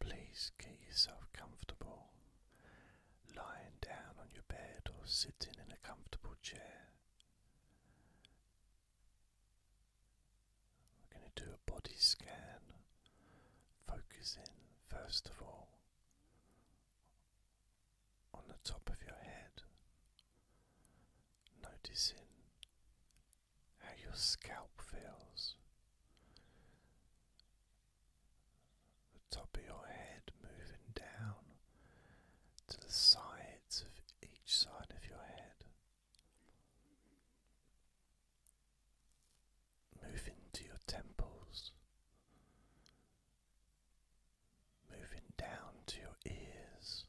Please get yourself comfortable, lying down on your bed or sitting in a comfortable chair. We're going to do a body scan, focusing first of all on the top of your head, noticing how your scalp feels, the top of your head moving down to the sides of each side of your head. Move into your temples, moving down to your ears,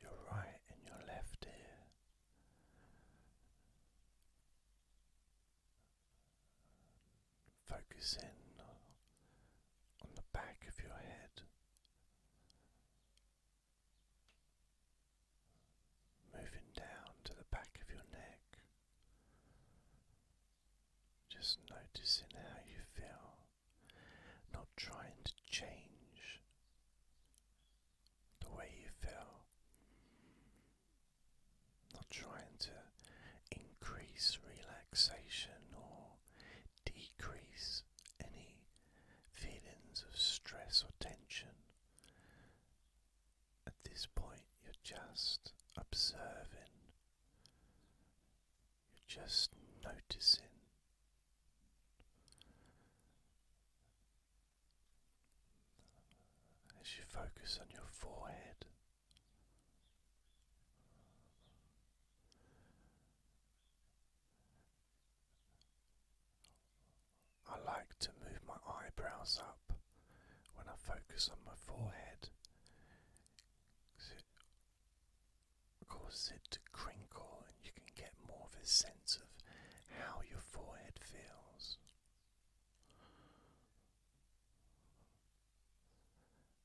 your right and your left ear, Focus on the back of your head, moving down to the back of your neck, just noticing how you feel, not trying to change the way you feel. Not trying to increase relaxation or decrease any feelings of stress or tension. At this point, you're just observing, you're just noticing as you focus on your forehead. I like to move my eyebrows up when I focus on my forehead it causes it to crinkle, and you can get more of a sense of how your forehead feels.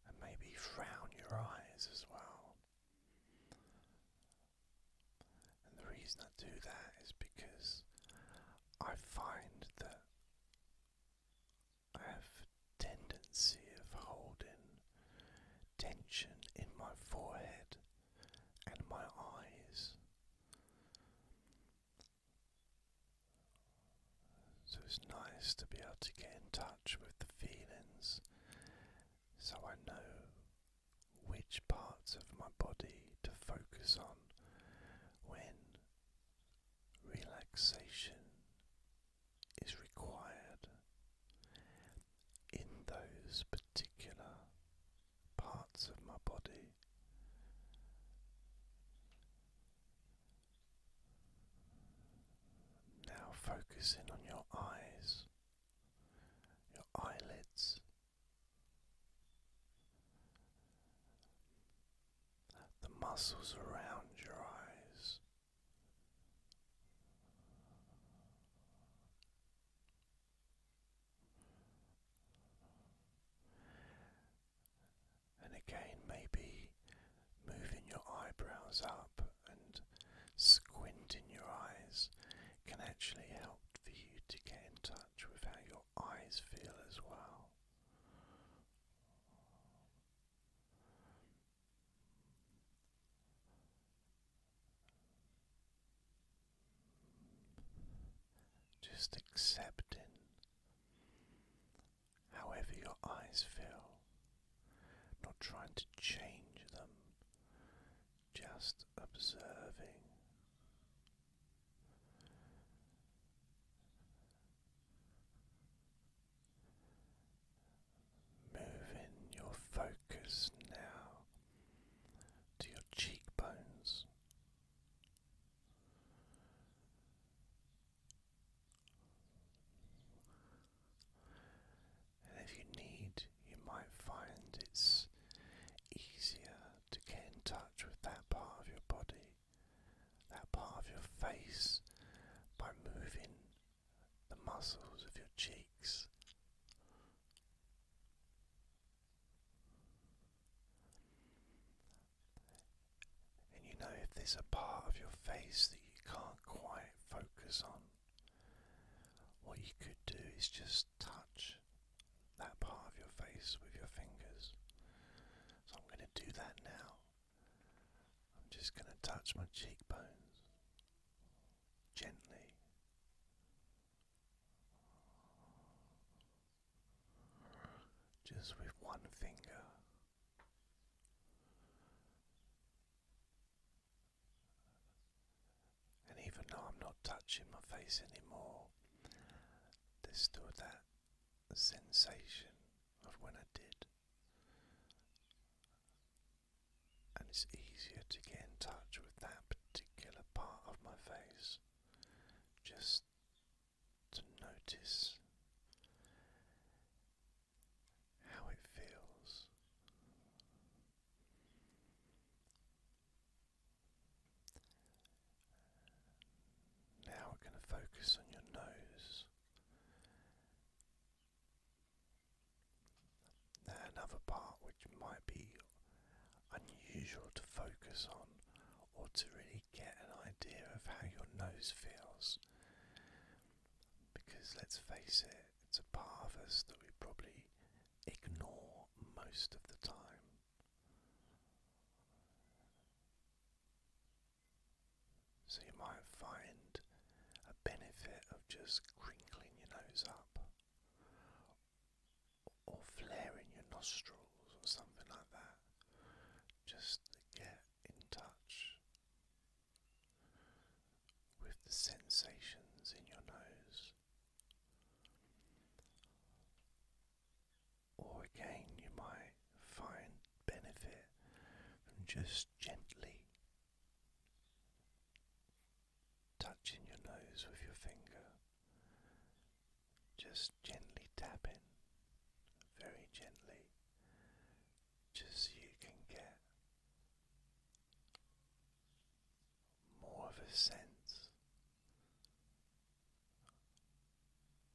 And maybe frown your eyes as well. And the reason I do that is because I find that I have a tendency of holding tension in my forehead and my eyes. So it's nice to be able to get in touch with the feelings so I know which parts of my body to focus on when relaxation is required in those particular parts of my body. Now focusing on your eyes, your eyelids. The muscles around your eyes, and again, maybe moving your eyebrows up and squinting your eyes can actually help for you to get in touch with how your eyes feel as well. Just accepting however your eyes feel, not trying to change them, just observing. Moving your focus now to your cheekbones. And if you need, you might find it's easier to get in touch with that part of your body, that part of your face, by moving the muscles of your cheeks. And you know, if there's a part of your face that you can't quite focus on, what you could do is just touch that part of your face with your fingers. So I'm going to do that now. I'm just going to touch my cheekbones gently just with one finger. And even though I'm not touching my face anymore, there's still that sensation of when I did. And it's easier to get in touch with that particular part of my face just to notice how it feels. Now we're going to focus on your nose another part which might be unusual to focus on or to really get an idea of how your nose feels. Because let's face it, it's a part of us that we probably ignore most of the time. So you might find a benefit of just crinkling your nose up or flaring your nostrils or something like that. Just get in touch with the sensations in your nose. Or again, you might find benefit from just gently touching your nose with your finger, just gently tapping, very gently, just so you can get more of a sense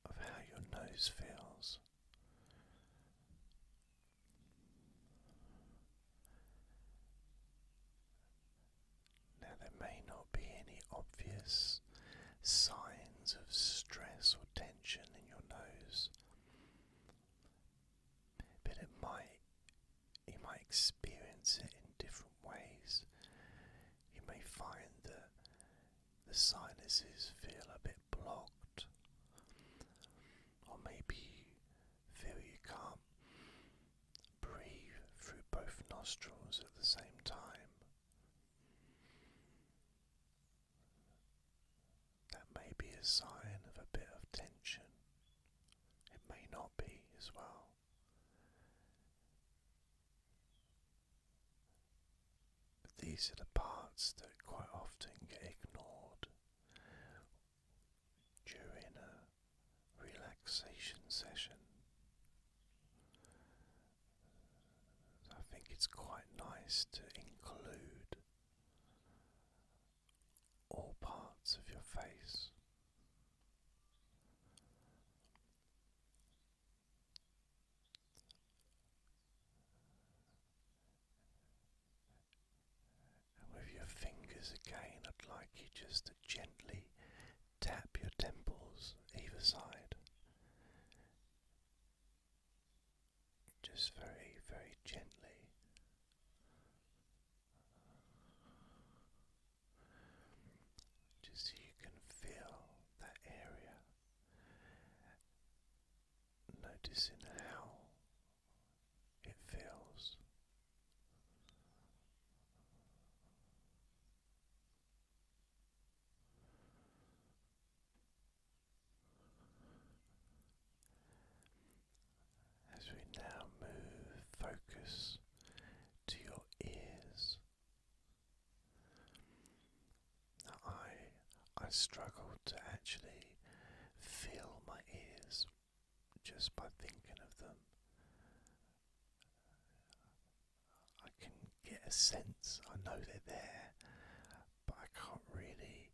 of how your nose feels. Now, there may not be any obvious signs of stress or tension in your nose, but it might, you might experience it in different ways. You may find that the sinuses feel a bit blocked, or maybe feel you can't Breathe through both nostrils at the same time. That may be a sign of a bit of tension. It may not be as well. But these are the parts that quite often get ignored during a relaxation session. I think it's quite nice to include all parts of your face. with your fingers again, I'd like you just to gently Tap your temples either side. Just very, very gently. Just so you can feel that area. Noticing how it feels. As we now move focus to your ears. I I struggle to actually feel my ears just by thinking of them I can get a sense, I know they're there, but I can't really.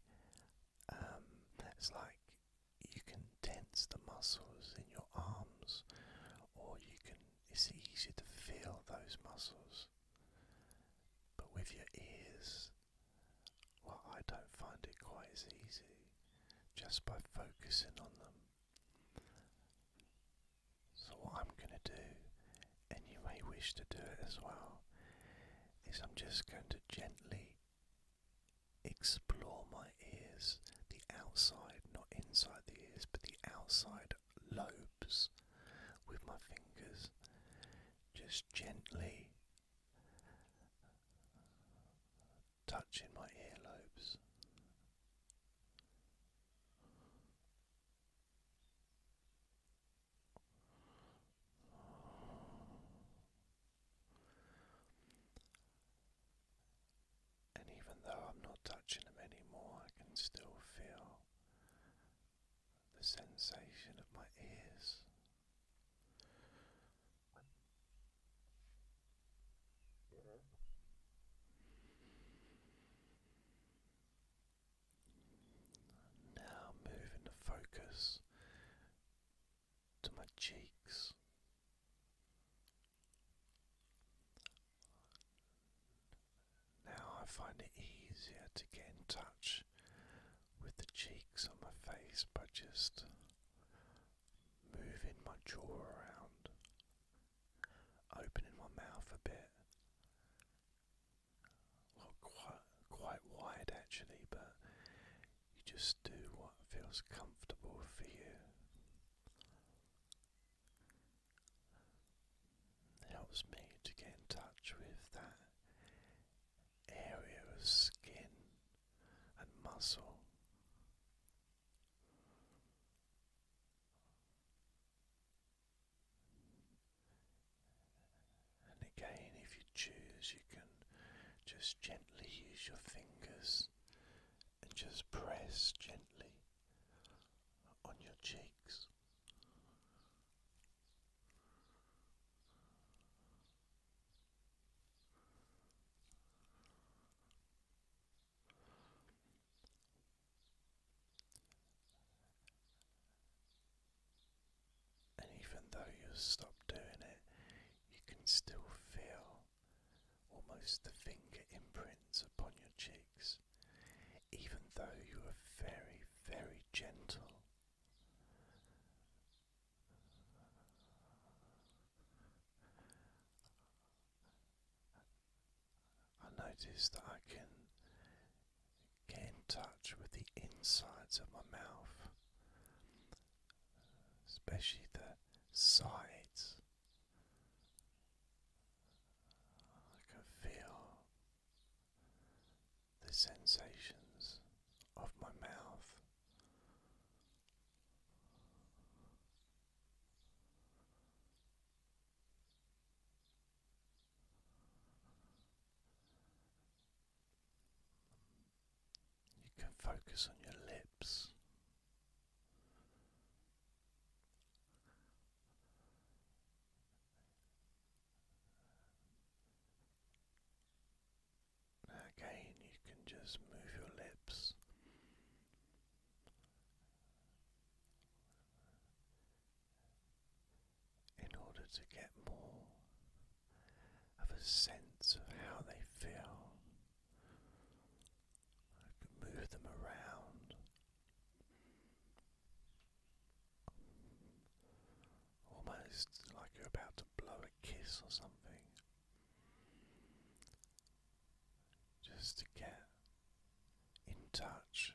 Um, it's like you can tense the muscles in your arms, or you can, it's easy to feel those muscles. But with your ears, well, I don't find it quite as easy just by focusing on them. So, what I'm going to do, and you may wish to do it as well, is I'm just going to gently explore my ears, the outside, not inside the ears, but the outside lobes with my fingers, just gently touching my earlobes. And even though I'm not touching them anymore, I can still feel the sensation of my ears. Now moving the focus to my cheeks. Now I find it easier to get in touch with the cheeks on my face by just moving my jaw around opening my mouth a bit. Well, quite, quite wide actually, but you just do what feels comfortable for you. helps me to get in touch with that area of skin and muscle. And again, if you choose, you can just gently use your fingers and just press gently on your cheeks. And even though you've doing it, you can still feel almost the finger imprints upon your cheeks, even though you are very, very gentle. I notice that I can get in touch with the insides of my mouth, especially the sides. I can feel the sensations of my mouth. You can focus on your lips. Again, you can just move your lips in order to get more of a sense of how they feel. I could move them around almost like you're about to blow a kiss or something just to get in touch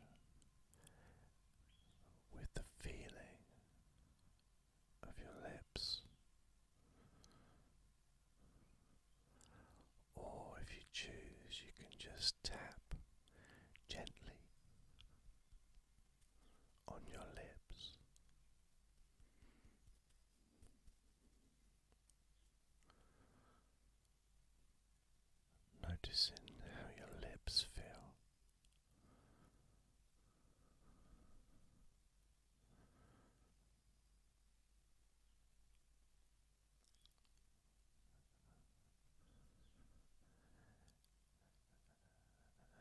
with the feeling of your lips, or if you choose, you can just tap gently on your lips. Noticing how your lips feel.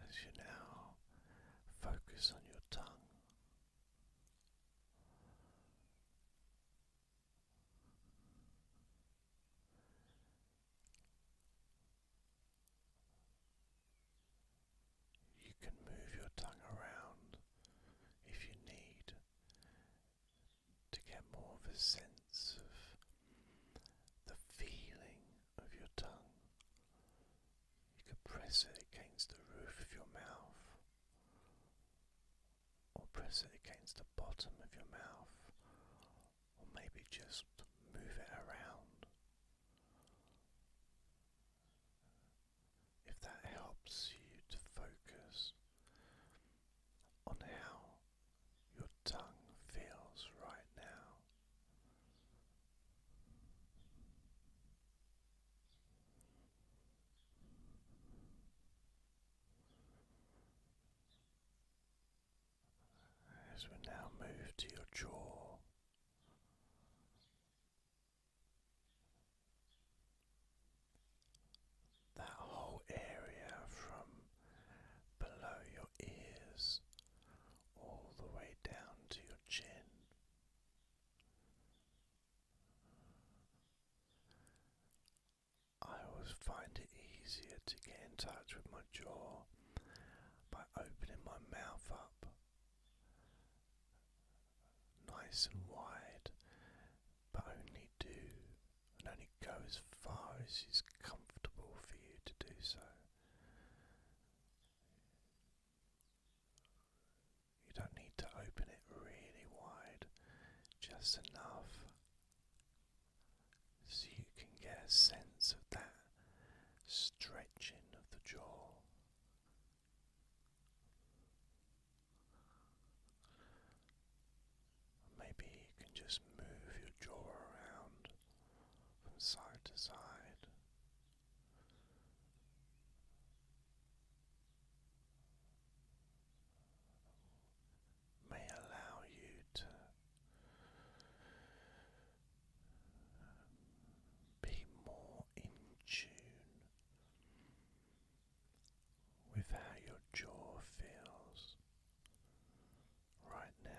As you now focus on your tongue, you can move your tongue around if you need to get more of a sense of the feeling of your tongue. You could press it against the roof of your mouth or press it against the bottom of your mouth, or maybe just move it around. If that helps you to focus on how your tongue feels right now. As we now move to your jaw, that whole area from below your ears all the way down to your chin. I always find it easier to get in touch with my jaw by opening my mouth up nice and wide, but only do and only go as far as is comfortable for you to do so. You don't need to open it really wide, just enough so you can get a sense of that stretching of the jaw. Maybe you can just move your jaw around from side to side may allow you to be more in tune with how your jaw feels right now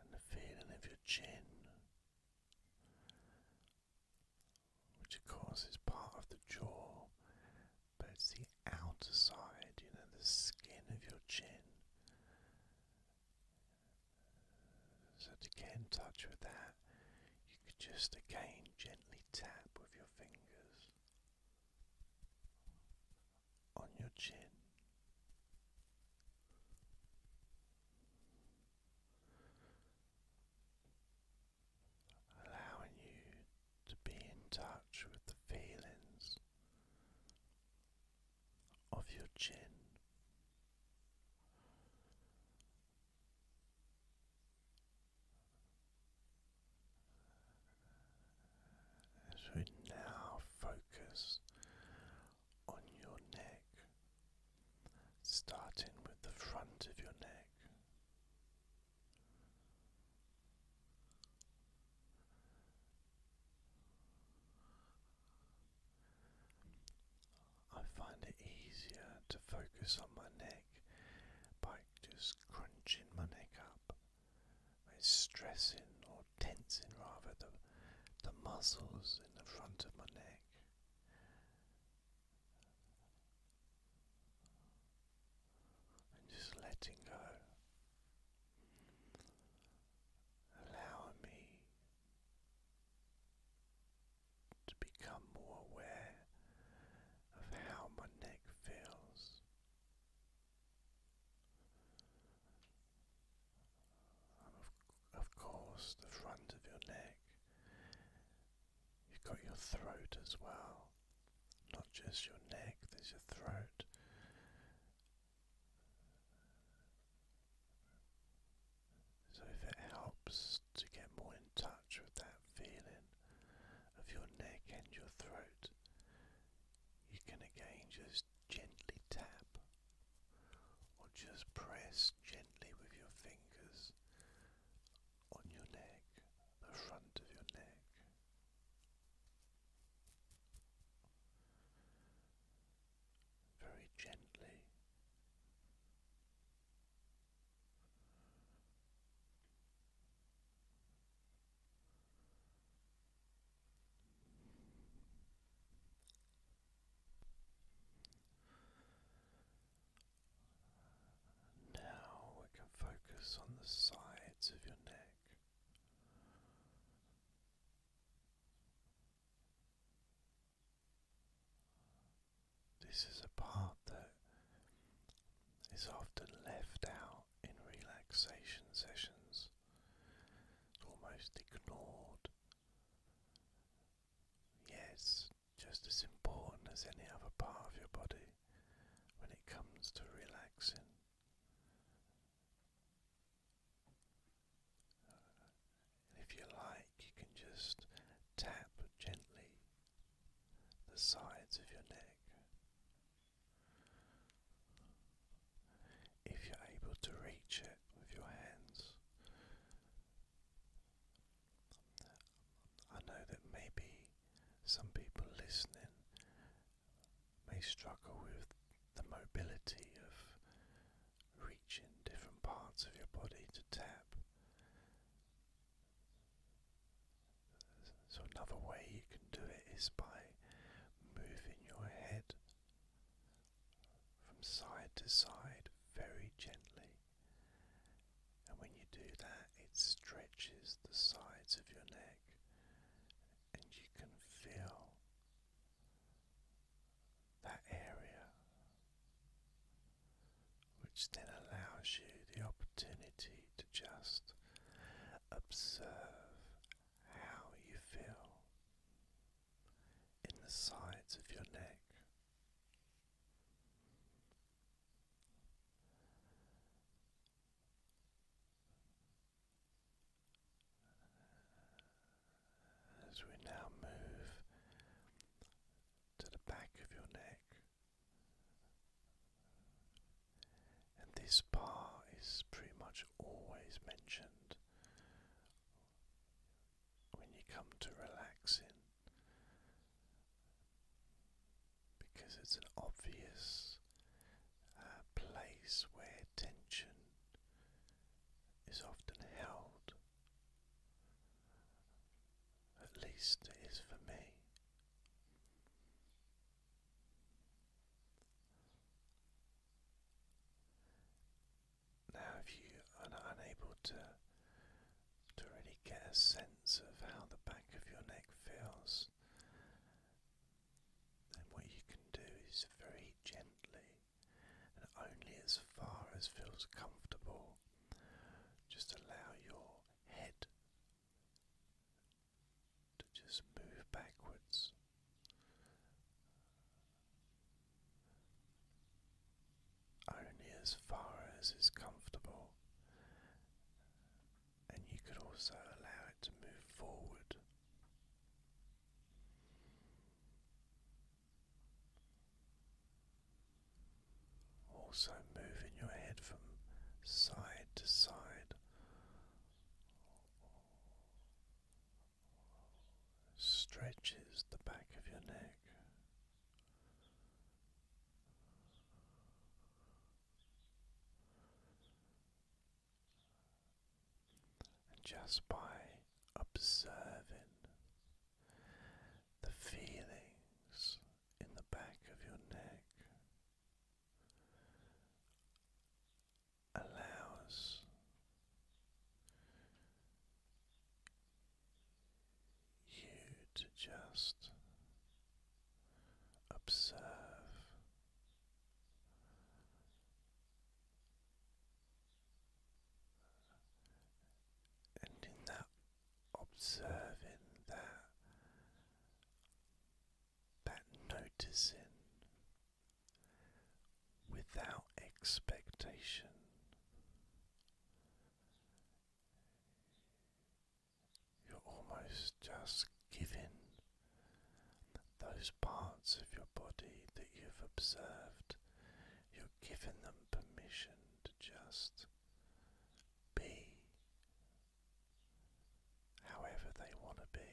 and the feeling of your chin, which of course is part of the jaw, but it's the outer side, you know, the skin of your chin. So to get in touch with that you could just again gently tap with your fingers on your chin. Allowing you to be in touch with the feelings of your chin, as we now focus on your neck, starting with the front of your neck. I find it easier to focus on my neck by just crunching my neck up. It's stressing or tensing rather the, the muscles in the front of my neck. And just letting go, allowing me to become more aware of how my neck feels. Of, of course, the front of your neck. You've got your throat as well, not just your neck, there's your throat. So, if it helps to get more in touch with that feeling of your neck and your throat, you can again just gently tap or just press gently with your fingers on your neck, the front of your neck. Very gently, now we can focus on the sides of your neck. This is a part that is often left out in relaxation sessions, almost ignored. Yes, yeah, just as important as any other part of your body when it comes to relaxing. Uh, if you like, you can just tap gently the sides of your neck. If you're able to reach it with your hands, I know that maybe some people listening may struggle with the mobility of reaching different parts of your body to tap. So, another way you can do it is by moving your head from side to side very gently. And when you do that, it stretches the sides of your neck, and you can feel that area which then allows you the opportunity to just observe how you feel in the sides of your neck. As we now move to the back of your neck, and this part is pretty much always mentioned when you come to relaxing because it's an obvious uh, place where tension is often held. At least it is for me. Now, if you are unable to to really get a sense of how the back of your neck feels, then what you can do is very gently and only as far as feels comfortable, just allow your head to just move backwards. Only as far as is comfortable, and you could also allow it to move forward. Also, moving your head from side to side, stretches the back of your neck. just by observing the feelings in the back of your neck allows you to just observe. And in that observing that, that noticing without expectation. You're almost just giving those parts of your body that you've observed, you're giving them permission to just be however they want to be.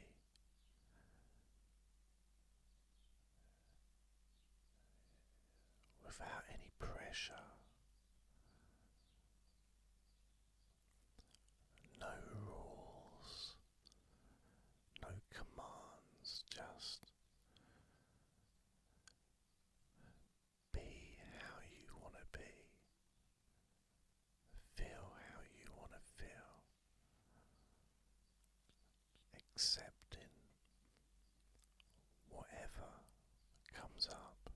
Without any pressure, no rules, no commands, just be how you want to be. Feel how you want to feel. Accepting whatever comes up.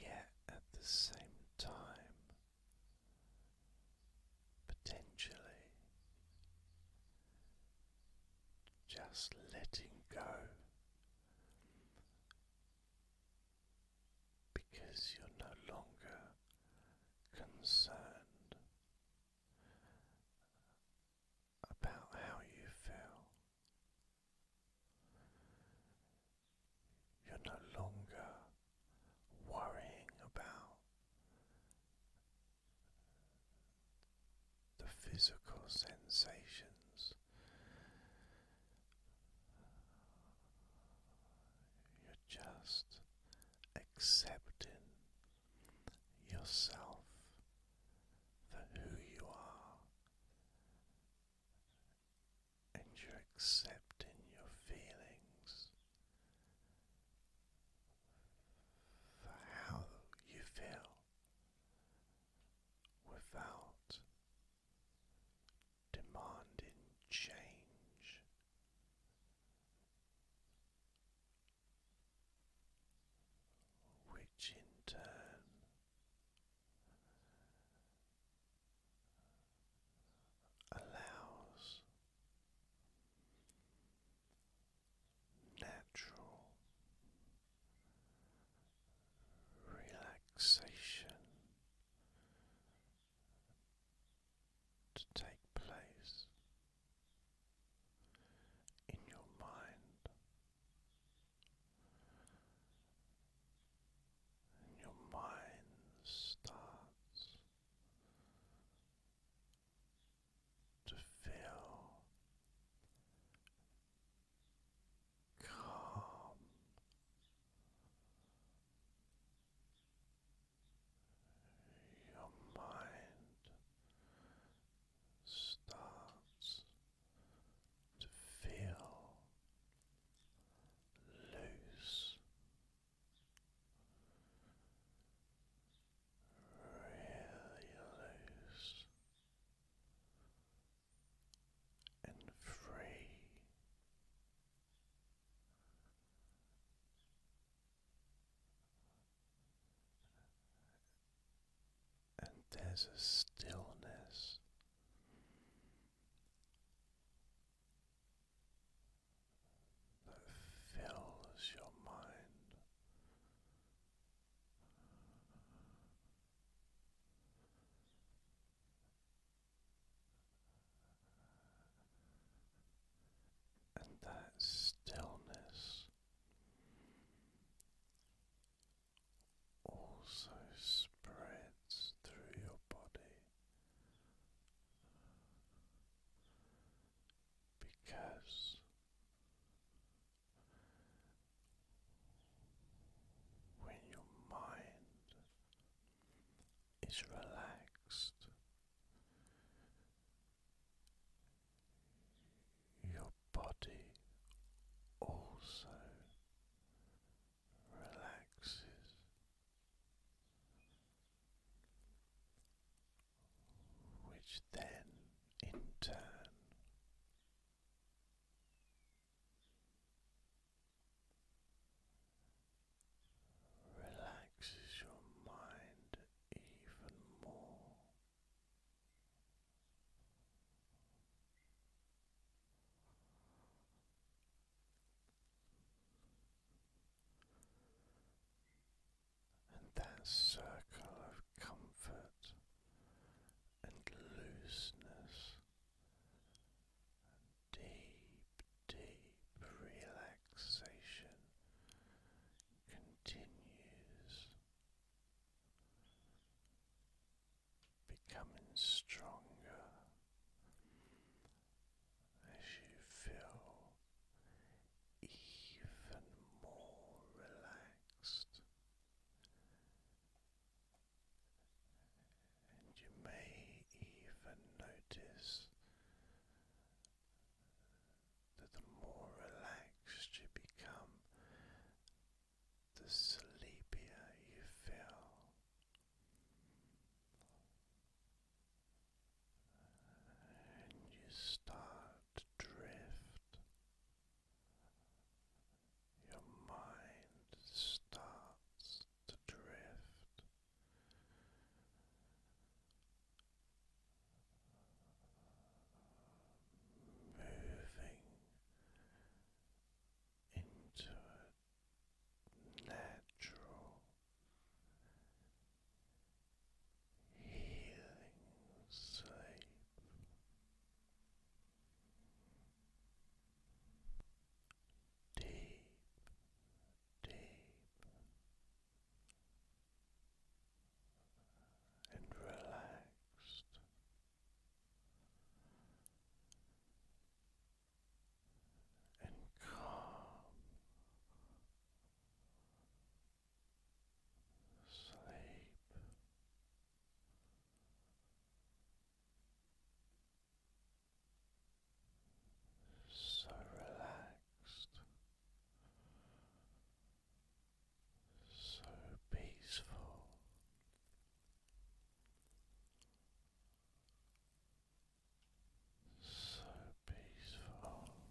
Yet at the same time, potentially just letting go because you're no longer concerned about how you feel. You're no longer worrying about the physical sensations. You're just accepting yourself for who you are, and you're accepting your feelings for how you feel without demanding change. Which in turn allows natural relaxation to take place in your mind and your mind starts to feel calm. Your mind starts to feel loose, really loose and free. And there's a stillness that fills your mind and that stillness also spreads through your body because when your mind is relaxed, your body also relaxes. Which then in turn relaxes your mind even more. And that circle of comfort and looseness, and deep, deep relaxation continues, becoming stronger as you feel even more relaxed and you may even notice that the more relaxed you become, the sleepier you feel. And you start to drift your mind starts to drift. Moving into a natural healing sleep. Deep, deep and relaxed. And calm sleep so relaxed, so peaceful. So peaceful.